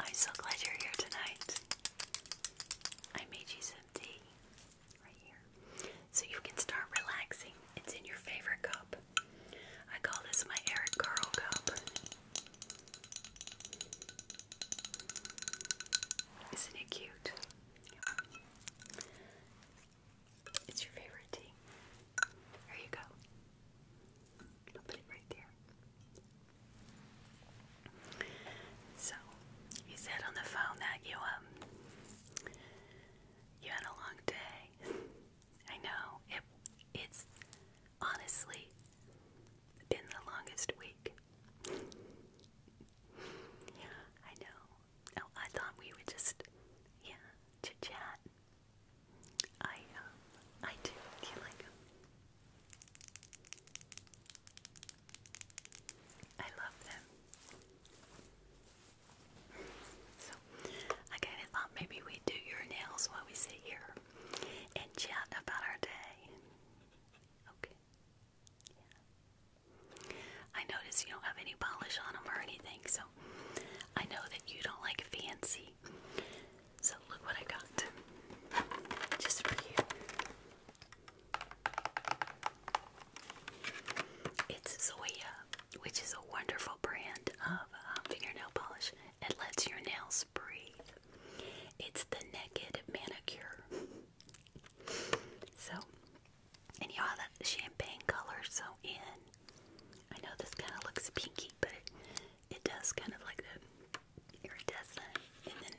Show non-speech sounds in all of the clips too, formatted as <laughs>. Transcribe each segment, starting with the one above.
I'm so glad you're here tonight. I made you some tea right here. So you can start relaxing. It's in your favorite cup. I call this my Eric Carl cup. Isn't it cute? It's your favorite tea. There you go i right there. So, you said on the phone that you um you had a long day. <laughs> I know it. It's honestly been the longest week. <laughs> yeah, I know. Oh, I thought we would just yeah chit chat I uh, I do. like I love them. So I kind of thought maybe we do your nails while we sit here and chat about our day. Okay. I notice you don't have any polish on them or anything, so I know that you don't like fancy so look what I got. Just for you. It's Zoya, which is a wonderful brand of um, fingernail polish. It lets your nails breathe. It's the Naked Manicure. so, and you know that champagne color, so in? I know this kind of looks pinky, but it does kind of like the iridescent, and then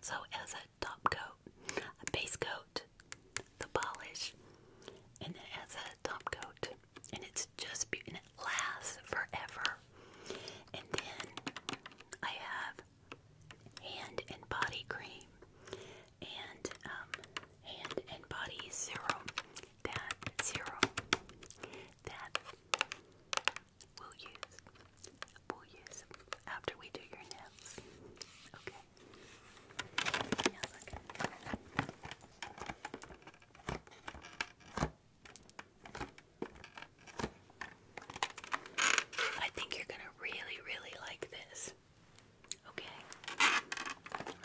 so as a top coat, a base coat, the polish, and then as a top coat, and it's just beautiful and it lasts forever. And then I have hand and body cream and um, hand and body serum. That serum that we'll use. We'll use after we do your nails. Okay. Now look. I think you're gonna really, really like this. Okay.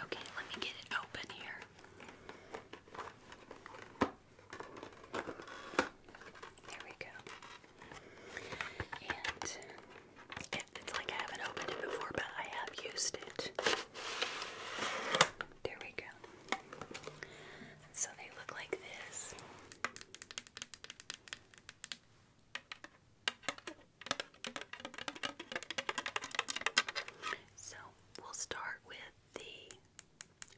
Okay, let me get it open here. There we go. And it's like I haven't opened it before, but I have used it. There we go. So they look like this. So we'll start with the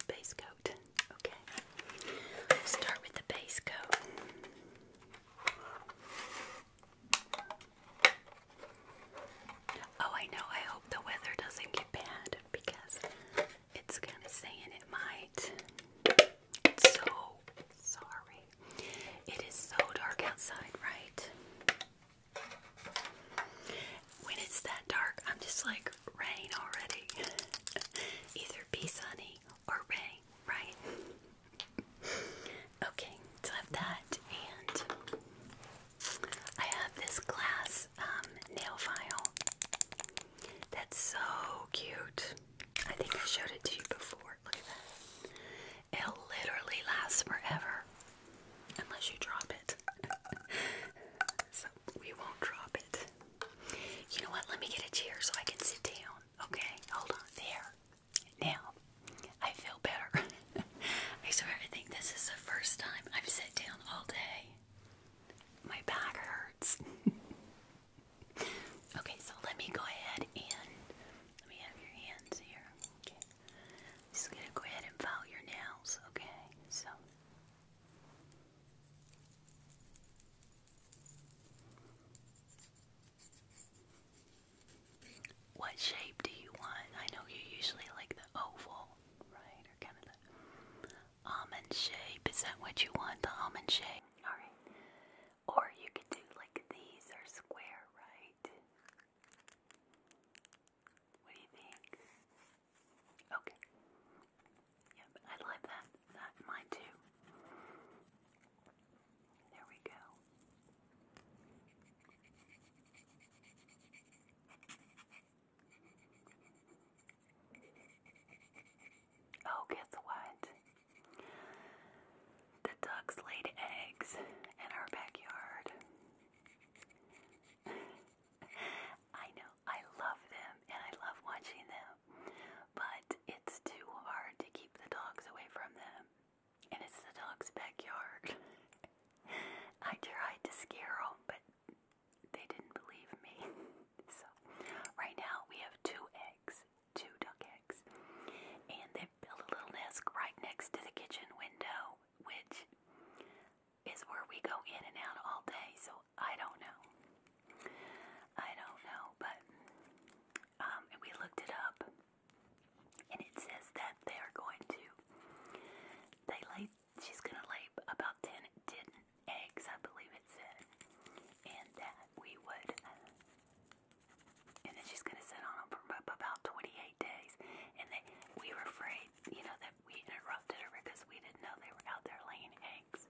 base coat. Okay, start with the base coat. Oh, I know. I hope the weather doesn't get bad because it's kind of saying it might. so sorry. It is so dark outside, right? When it's that dark, I'm just like rain already. <laughs> Either be sunny or rain, right? <laughs> Okay, so I have that, and I have this glass um, nail file that's so cute. I think I showed it to you before. Look at that. It literally lasts forever. Unless you drop it. <laughs> so we won't drop it. You know what? Let me get a chair so I can sit down. Okay, hold on. There. Now, I feel better. <laughs> I swear, I think this is the first time I've sat down all day. My back hurts. <laughs> okay, so let me go ahead and let me have your hands here. Okay just gonna go ahead and file your nails, okay? So what shape do you want? I know you usually like the oval, right? Or kind of the almond shape. Is that what you want? The almond shape? Alright. Or you could do like these are square, right? What you Okay. Yep, I love that. That mine too. There we go. Oh, guess what? The ducks laid eggs in our backyard. I know, I love them and I love watching them, but it's too hard to keep the dogs away from them. And it's the dog's backyard. <laughs> I tried to scare them, but they didn't believe me. <laughs> so, right now we have two eggs, two duck eggs, and they've built a little nest right next to the kitchen window, which is where we go in and out all day, so I don't know. I don't know, but um, we looked it up, and it says that they are going to. They lay. She's gonna lay about ten, 10 eggs, I believe it said, and that we would. And then she's gonna sit on them for about 28 days, and they, we were afraid you know, that we interrupted her because we didn't know they were out there laying eggs.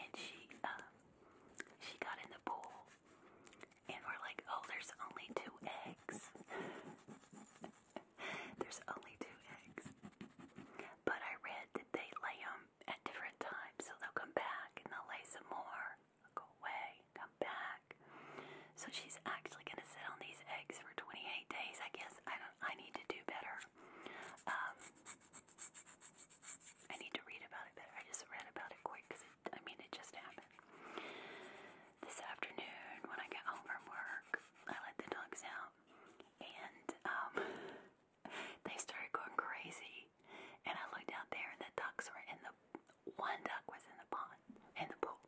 And she, uh, she got in the pool, and we're like, oh, there's only two eggs. <laughs> there's only two eggs. But I read that they lay them at different times, so they'll come back and they'll lay some more. They'll go away, come back. So she's actually going to sit on these eggs for 28 days. I guess I I need to do better. Um, I need to read about it better. I just read about it quick because I mean it just happened this afternoon when I got home from work. I let the dogs out, and um, <laughs> they started going crazy. And I looked out there, and the ducks were in the one duck was in the pond, in the pool.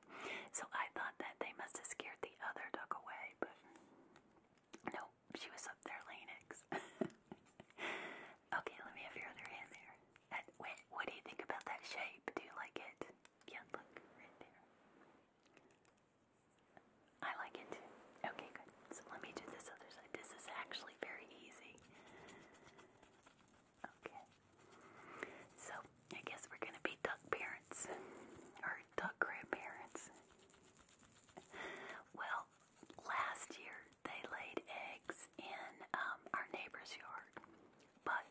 So I thought that they must have scared the other duck away, but no, she was up there laying eggs. <laughs> okay, let me have your other hand there. And wait, what do you think about that shape? Do you like it? Yeah, look right there. I like it too. Okay, good. So let me do this other side. This is actually very easy. Okay. So, I guess we're gonna be duck parents. Or duck grandparents. Well, last year they laid eggs in um, our neighbor's yard, but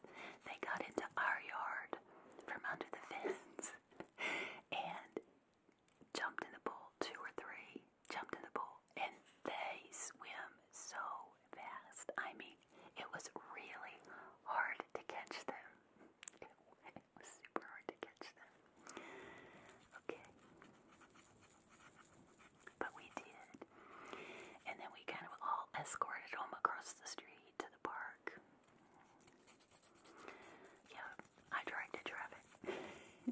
they got into our yard from under the <laughs> fence and jumped in the pool, two or three jumped in the pool, and they swim so fast. I mean, it was really hard to catch them. <laughs> It, was super hard to catch them. Okay. But we did. And then we kind of all escorted him across the street to the park. Yeah, I directed traffic. <laughs>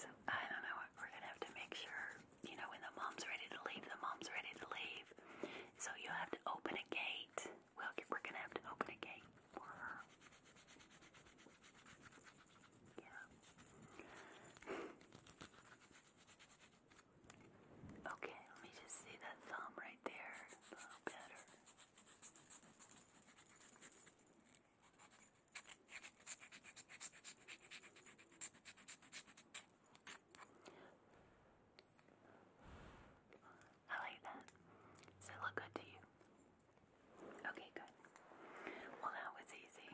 so I don't know. We're going to have to make sure you know, when the mom's ready to leave, the mom's ready to leave. So you have to open a gate. Well, we're gonna have to open a gate for her. Yeah. Okay, let me just see that thumb right there a little better. I like that. Does it look good to you? Okay, good. Well, that was easy.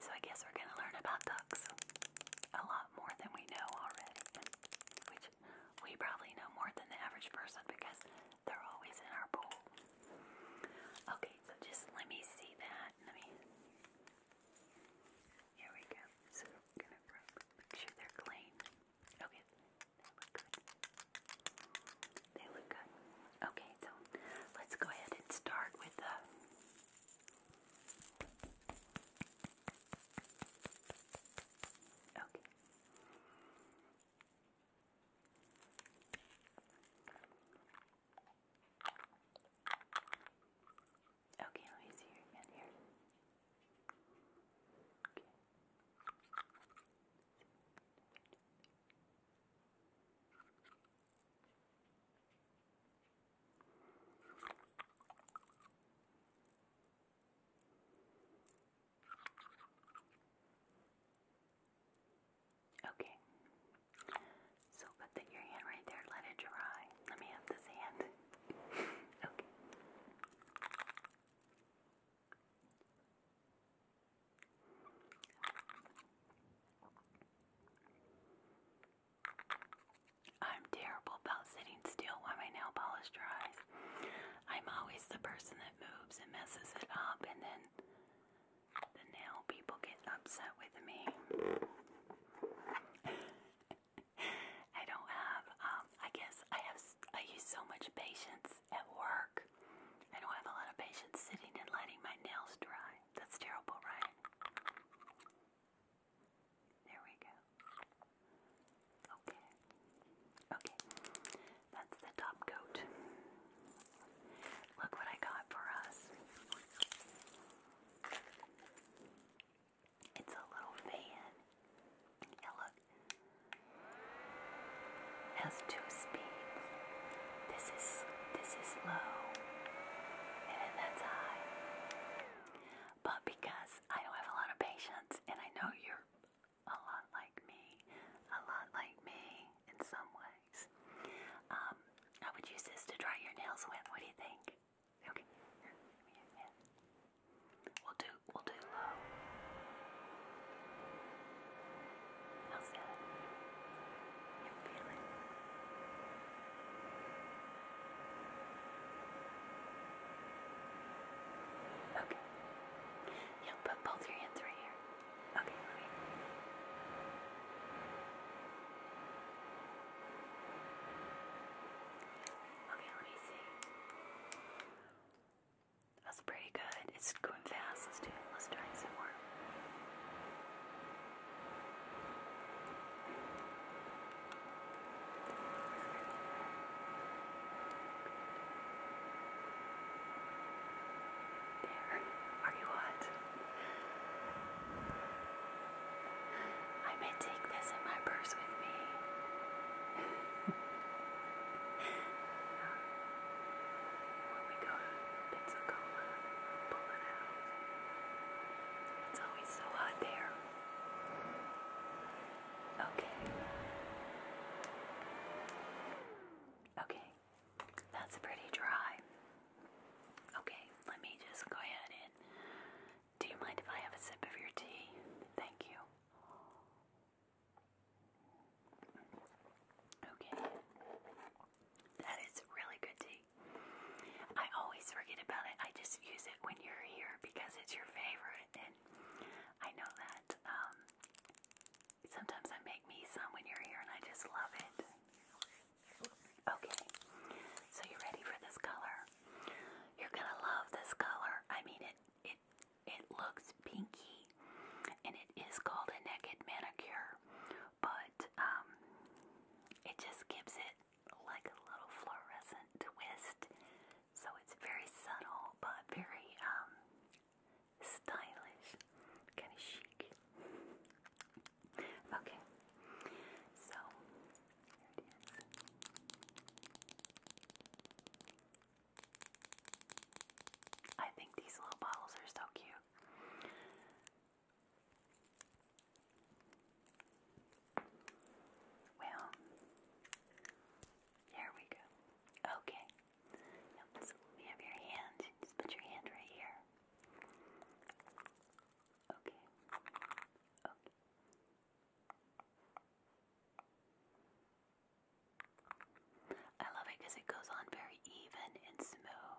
So I guess we're going to learn about ducks a lot more than we know already, we probably know more than the average person because they're always in our pool. Okay, so just let me see that. Let me. Here we go. So make sure they're clean. Okay, They look good. Okay, so let's go ahead and start with the. Okay. Okay, let me see you again here. Okay. Okay. Okay. So put your hand right there. Let it dry. Let me have this hand. <laughs> okay. I'm terrible about sitting still while my nail polish dries. I'm always the person it moves and messes it up, and then the nail people get upset with me. <laughs> I don't have, um, I guess I have, I use so much patience at work. I don't have a lot of patience sitting and letting my nails dry. That's terrible, right? There we go. Okay. Okay. That's the top coat. Look what I got for us. It's a little fan. And look. has two speeds. This is this is low. And then that's high. But because I don't have a lot of patience and I know you're a lot like me, a lot like me in some ways. Um, I would use this to dry your nails with. What do you think? Okay, here, We'll do, we'll do low. Okay you put both your hands right here. Okay, let me. Okay, let me see. That's pretty good. It's going fast. Let's do it. Let's try some more. There, are you hot? I may take this in my purse with me. <laughs> when we go to Pensacola, pull it out. It's always so hot there. Okay. Okay. That's pretty dry. Okay, let me just go ahead and. Do you mind if I have a sip of your tea? Thank you. Okay. That is really good tea. I always forget about it. I just use it when you're here because it's your favorite I know that um, sometimes I make me some when you're here, and I just love it. Okay, so you ready for this color? You're gonna love this color. I mean, it it it looks pinky, and it is called a naked manicure, but um, it just gives it like a little fluorescent twist so it's very subtle but very um, stylish, kind of chic. Okay, so I think these little bottles are so cute. Well, there we go. Okay. so let have your hand. Just put your hand right here. Okay. Okay. I love it because it goes on very even and smooth.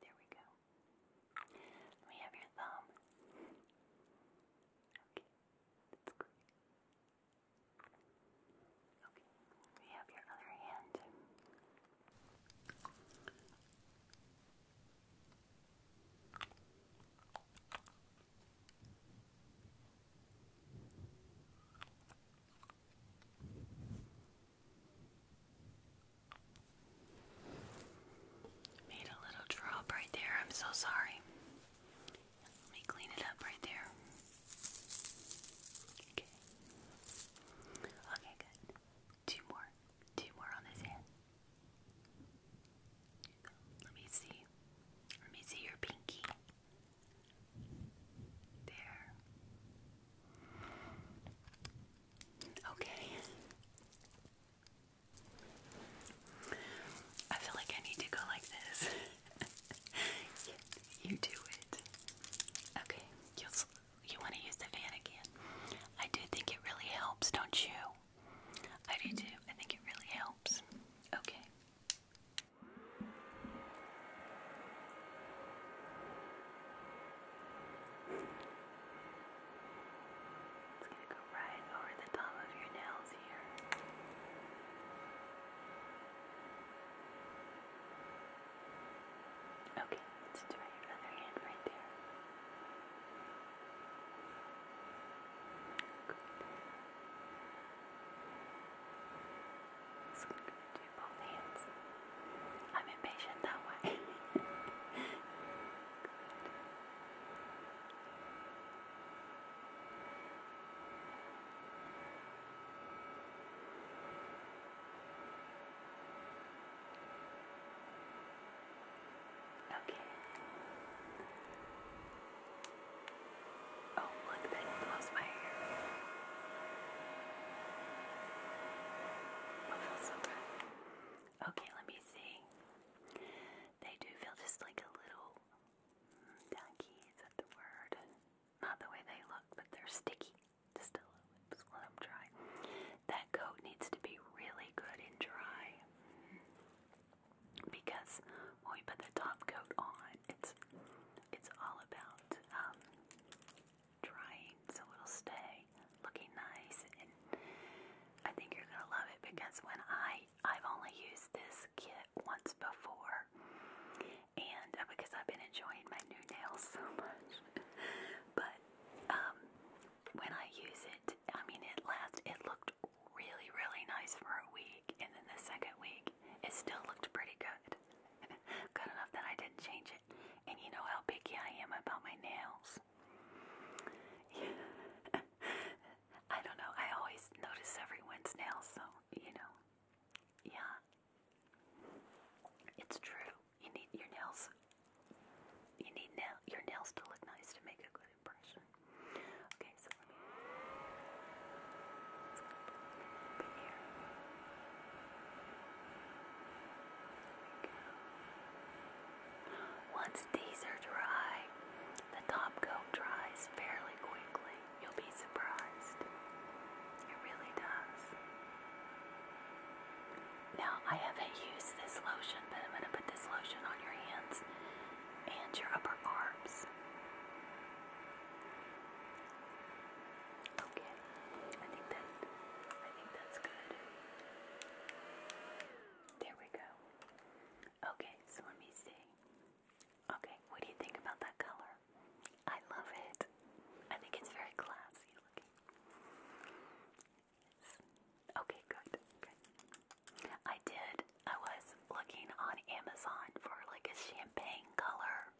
There we go. Let me have your thumb. Okay, that's great. Okay, we have your other hand. Okay, Made a little drop right there. I'm so sorry. Let me clean it up right there. Okay. Okay, good. Two more. Two more on this hand. Let me see. Let me see your pinky. There. Okay. I feel like I need to go like this. <laughs> you, do it. Okay. you you want to use the fan again? I do think it really helps, don't you? I do too. I think it really helps. Okay. It's going to go right over the top of your nails here. Okay, let's try your other hand right there. Good. Scoot, do I'm impatient that way. <laughs> Okay. Oh, look, that blows my hair. Oh, feels so good. Okay, let me see. They do feel just like a little tacky, mm, is that the word? Not the way they look, but they're sticky. Just a little let them dry. That coat needs to be really good and dry because when we put the top coat on, it's it's all about um, drying, so it'll stay looking nice. And I think you're gonna love it because when I I've only used this kit once before, and uh, because I've been enjoying my new nails so much, <laughs> but um, when I use it, I mean it last. It looked really, really nice for a week, and then the second week, it still looked pretty good. <laughs> good enough that I didn't change it. And you know how picky I am about my nails. <laughs> I don't know, I always notice everyone's nails, so, you know, yeah. It's true. You need your nails. You need nail your nails to look nice to make a good impression. Okay, so let me. Let's here. Once these are dry, the top coat dries fairly quickly. You'll be surprised. It really does. Now, I haven't used this lotion, but I'm going to put this lotion on your hands and your upper arms. Okay, I think that I think that's good. There we go. Okay, so let me see. Okay, what do you think about that color? I love it. I think it's very classy looking. Okay, good. Good. I did I was looking on Amazon for like a champagne color,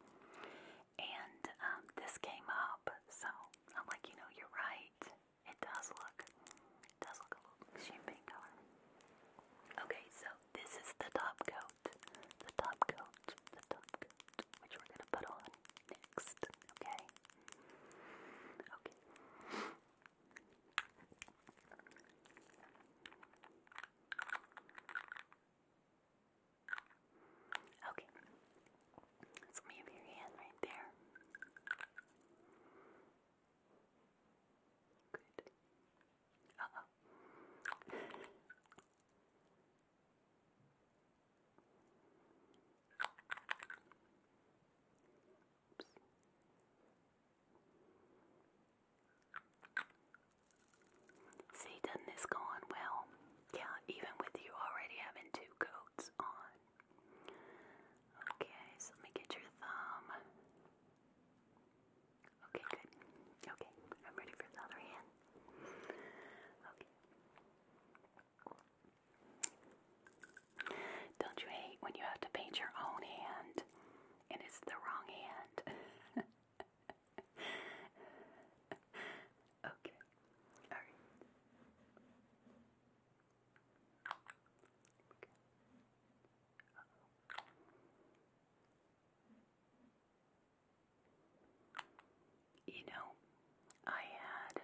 and um, this came up. So I'm like, you know, you're right. It does look, it does look a little champagne color. Okay, so this is the top coat, the top coat, the top coat, which we're gonna put on next. Okay. Okay. Okay. So we have your hand right there. Good. Uh oh. Oops. See, doesn't this go on well? Yeah, even with you already having two coats on. Okay, so let me get your thumb. Okay, good. Okay, I'm ready for the other hand. Okay. Don't you hate when you have to paint your own hand? and it's the wrong hand. <laughs> okay, all right. You know, I had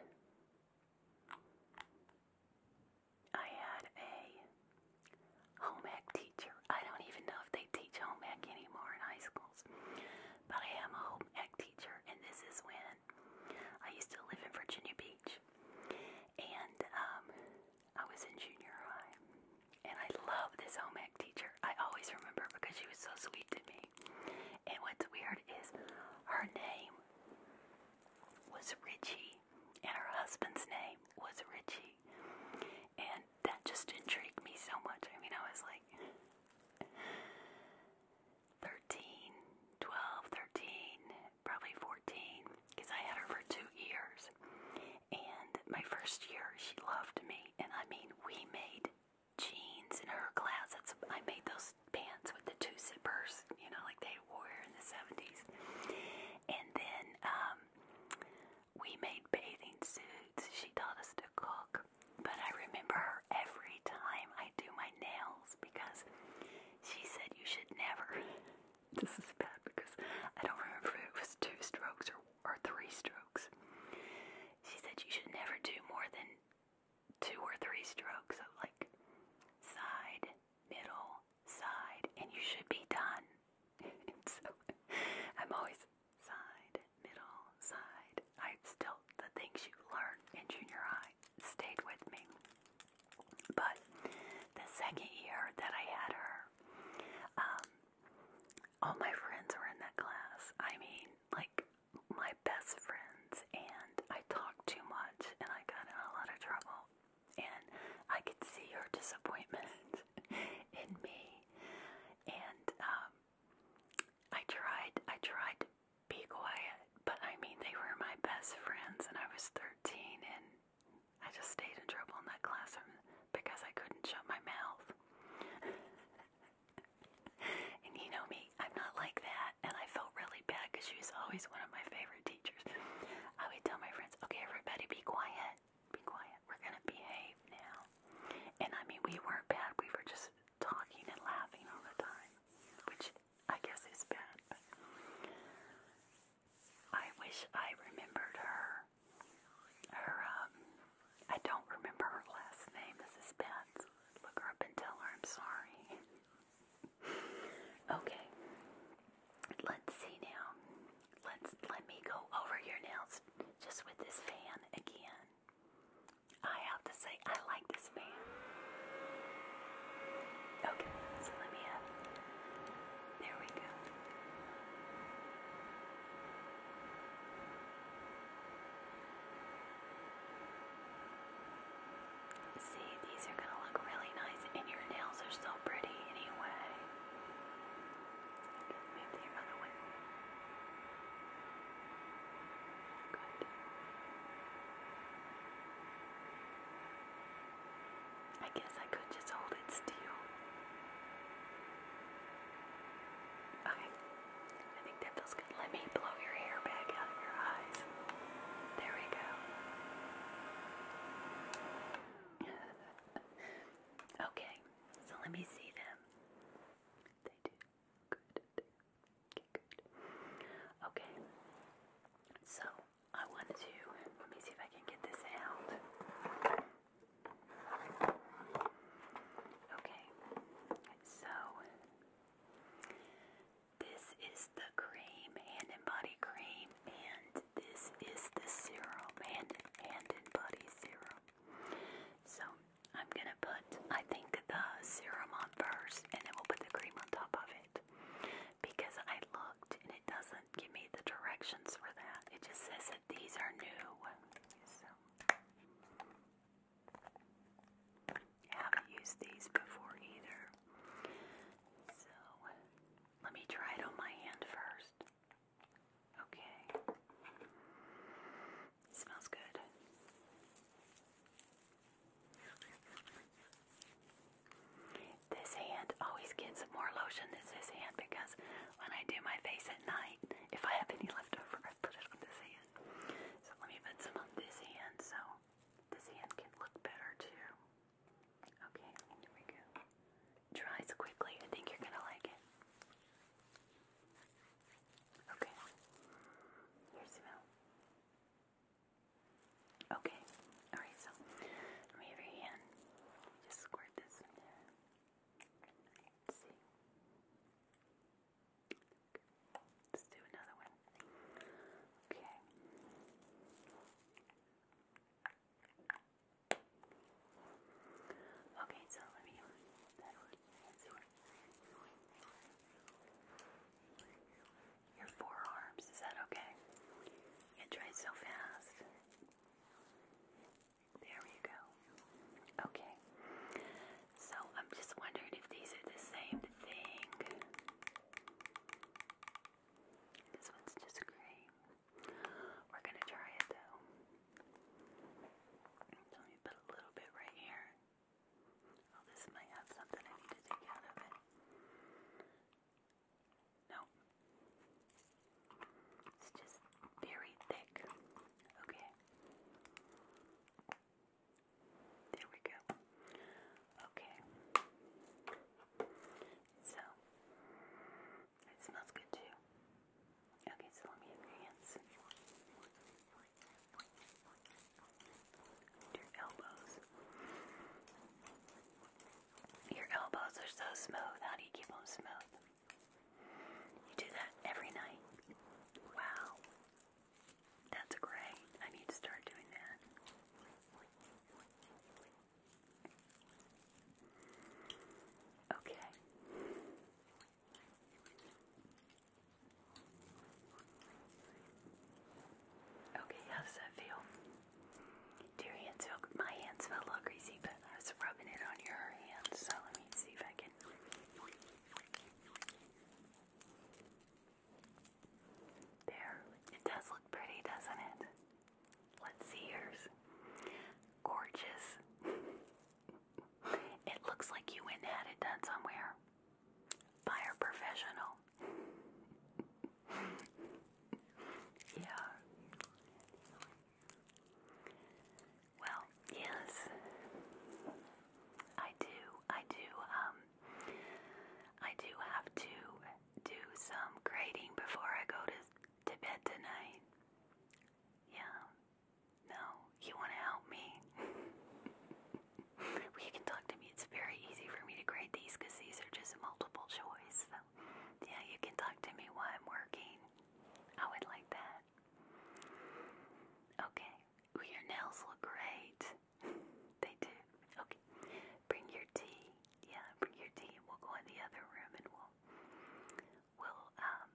I had a home ec teacher. I don't even know if they teach home ec anymore in high schools, but I am a home ec teacher, and this is when I used to live in Virginia Beach, and um, I was in junior high, and I love this home ec teacher. I always remember because she was so sweet to me, and what's weird is her name was Richie and her husband's name was Richie. And that just intrigued me so much. I mean, I was like 13, 12, 13, probably 14, because I had her for two years. And my first year, she loved me. And I mean, we made jeans in her class. That's, I made those pants with the two zippers, you know, like they wore in the 70s. And then um, we made bathing suits. She taught us to cook. But I remember her every time I do my nails because she said you should never. <laughs> this is bad because I don't remember if it was two strokes or, or three strokes. She said you should never do more than two or three strokes of like side middle side and you should be done <laughs> so i'm always side middle side i still the things you learned in junior high stayed with me but the second year that i had her um, all my friends were in that class i mean like my best friends and i talked too much and i got in a lot of trouble and I could see her disappointment <laughs> in me. And um, I tried, I tried to be quiet, but I mean, they were my best friends, and I was 13, and I just stayed in trouble in that classroom because I couldn't shut my mouth. <laughs> and you know me, I'm not like that, and I felt really bad because she was always one of my favorite teachers. I would tell my friends, okay, everybody be quiet. Be quiet. We're gonna behave now. And I mean, we weren't bad. We were just talking and laughing all the time, which I guess is bad. I wish I remembered her. Her, um, I don't remember her last name. This is Ben's. Look her up and tell her I'm sorry. <laughs> okay. Let's see now. Let's let me go over your nails just with this fan again. I have to say I like this fan. Okay, so let me have there we go. See, these are gonna look really nice and your nails are so pretty anyway. Move Good. I guess I could just hold it still. Okay. I think that feels good. Let me blow your hair back out of your eyes. There we go okay, so let me see them. They do. Good. Okay, good. Okay. So I wanted to let me see if I can get this out. Okay, so this is the cream, hand and body cream, and this is the serum, and hand and body serum. So I'm gonna put, I think, the serum on first, and then we'll put the cream on top of it. Because I looked and it doesn't give me the directions for that. It just says that these are new. haven't used these before either. So let me try it on my hand first. Okay. smells good. This hand always gets more lotion than this hand because when I do my face at night, if I have any left over, I put it on this hand. So let me put some on this hand so this hand can look better too. Okay, here we go. Dries quickly. I think you're gonna like it. Okay. Your smell. Okay. Alright, so from your hand, just squirt this in see. Let's do another one. Okay. Okay, so let me Your forearms, is that okay? It dries so fast. There we go. Okay. So I'm just wondering if these are the same thing. This one's just cream. We're gonna try it though. So me put a little bit right here. Oh, this might have something I need to take out of it. No. It's just very thick. Okay. There we go. Okay. So, it smells good too. Okay, so let me your hands. Your elbows. Your elbows are so smooth. How do you keep them smooth? You do that every night. Wow. That's great. I need to start doing that. Okay. Okay, how does that feel? your hands feel? My hands feel a little greasy, but I was rubbing it on your hands, so let me see if I can. There. It does look pretty, doesn't it? Let's see yours. Gorgeous. <laughs> it looks like you went and had it done somewhere. By a professional. <laughs> yeah. Well, yes. I do. I do. Um, I do have to do some grading before I go to, to bed tonight. Yeah. No, you want to help me? <laughs> well, can talk to me. It's very easy for me to grade these these are just multiple choice. So, yeah, you can talk to me while I'm working. I would like that. Okay. Ooh, your nails look great. <laughs> they do. Okay. Bring your tea yeah, bring your tea we'll go in the other room and we'll we'll um,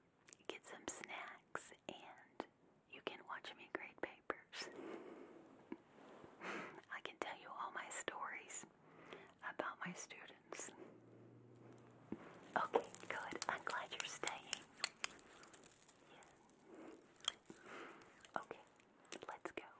get some snacks and you can watch me grade papers. <laughs> I can tell you all my stories about my students. Okay, good. I'm glad you're staying. Yeah. Okay, let's go.